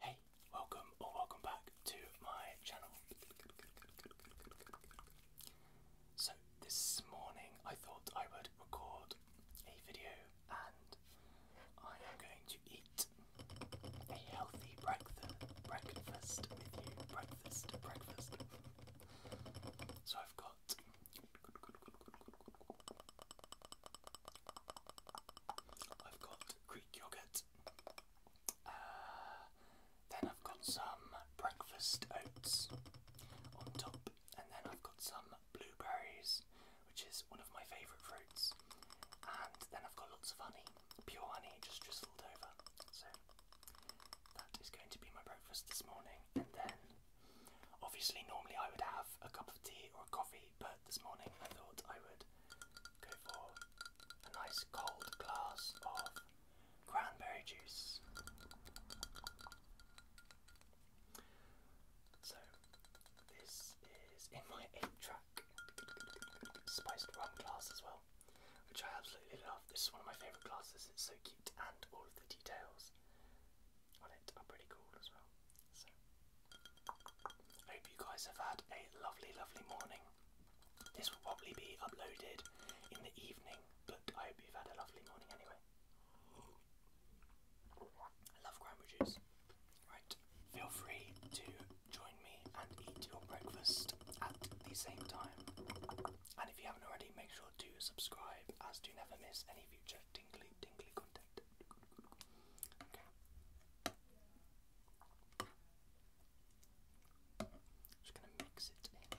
Hey, welcome or welcome back to my channel. So, this morning I thought I would record a video and I am going to eat a healthy breakfast breakfast breakfast. So, I've got I've got Greek yogurt. Uh, then I've got some breakfast oats on top, and then I've got some blueberries, which is one of my favourite fruits. And then I've got lots of honey, pure honey, just drizzled over. So that is going to be my breakfast this morning. And then, obviously, normally I would have a cup of tea or a coffee, but this morning I thought I would go for a nice cold glass of cranberry juice. So, this is in my 8 track spiced rum glass as well, which I absolutely love. This is one of my favourite glasses, it's so cute, and all of the details on it are pretty cool as well. So, I hope you guys have had a lovely, lovely morning. This will probably be uploaded in the evening, but I hope you've had a lovely morning anyway. I love cranberry Right, feel free to join me and eat your breakfast at the same time. And if you haven't already, make sure to subscribe as to never miss any future tingly, tingly content. Okay. Just gonna mix it in.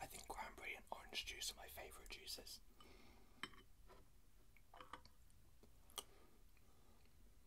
I think cranberry and orange juice are my favourite juices.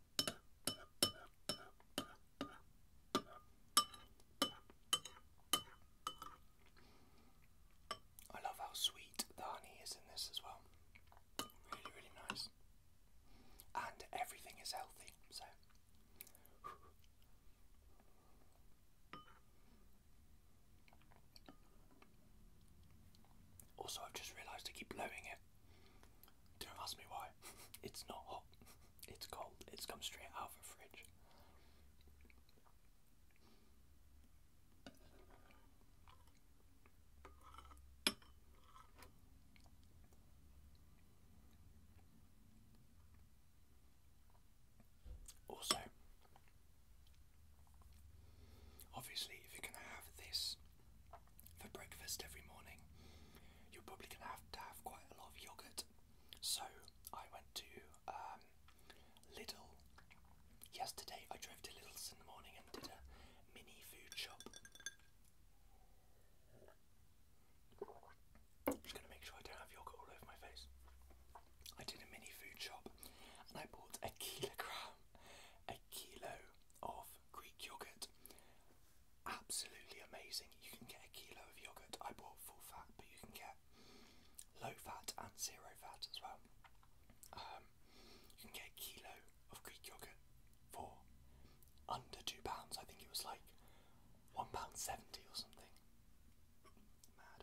I love how sweet the honey is in this as well. Really, really nice. And everything is healthy, so. Also, I've just realised I keep blowing it. Don't ask me why. It's not hot. It's cold. It's come straight out of the fridge. Also, obviously, if you're going to have this for breakfast every morning, you're probably going to have to have quite a lot of yogurt. So I went to um, Little yesterday. I drove to Little in the morning and did a mini food shop. Just going to make sure I don't have yogurt all over my face. I did a mini food shop and I bought a kilogram, a kilo of Greek yogurt. Absolutely amazing. You can get a kilo of yogurt. I bought full fat, but you can get low fat and zero fat as well. Um, you can get a kilo of Greek yogurt for under two pounds. I think it was like one pound seventy or something. Mad.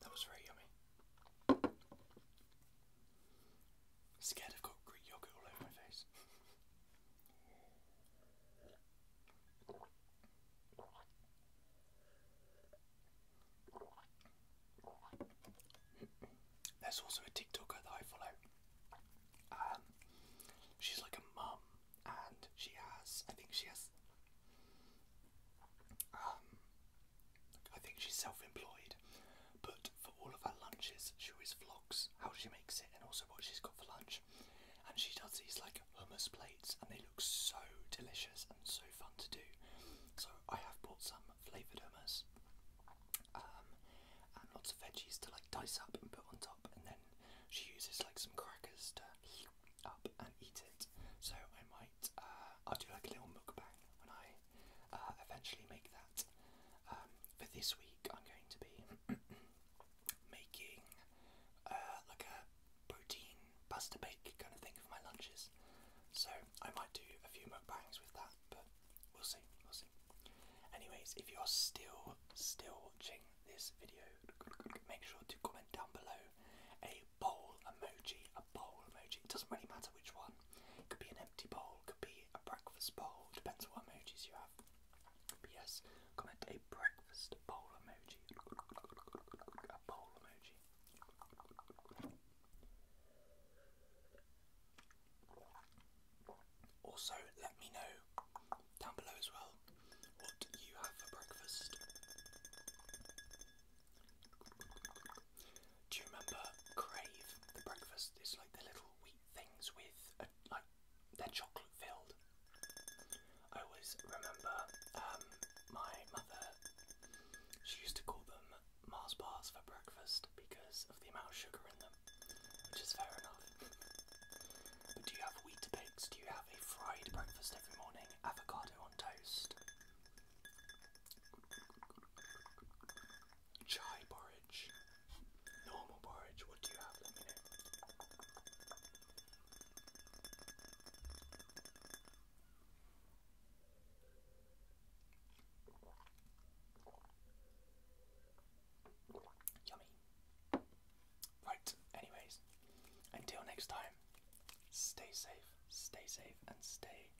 That was very yummy. Scared I've got Greek yogurt all over my face. There's also a TikToker that I follow. Um, she's like a mum and she has, I think she has, um, I think she's self-employed, but for all of her lunches, she always vlogs how she makes it and also what she's got for lunch, and she does these like hummus plates, and they look so delicious and so fun to do. So I have bought some flavoured hummus, um, and lots of veggies to like dice up and put on top, and then she uses like some crackers to up and eat it. So I might, uh, I'll do like a little mukbang when I uh, eventually make that. Um, for this week, I'm going to be making uh, like a protein pasta bake kind of thing for my lunches. So I might do a few mukbangs with that, We'll see, we'll see. Anyways, if you're still still watching this video, make sure to comment down below a bowl emoji, a bowl emoji. It doesn't really matter which one. It could be an empty bowl, could be a breakfast bowl, depends on what emojis you have. But yes, comment a breakfast bowl emoji. A bowl emoji. Also, let me know down below as well what you have for breakfast. Do you remember Crave? The breakfast is like the little wheat things with uh, like they're chocolate filled. I always remember um, my mother. She used to call them Mars bars for breakfast because of the amount of sugar in them which is fair enough. But do you have wheat Do you have a fried breakfast every morning? Avocado on toast? Chai porridge? Normal porridge? What do you have? Yummy. Right, anyways, until next time, stay safe, stay safe, and stay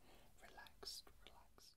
relaxed, relaxed.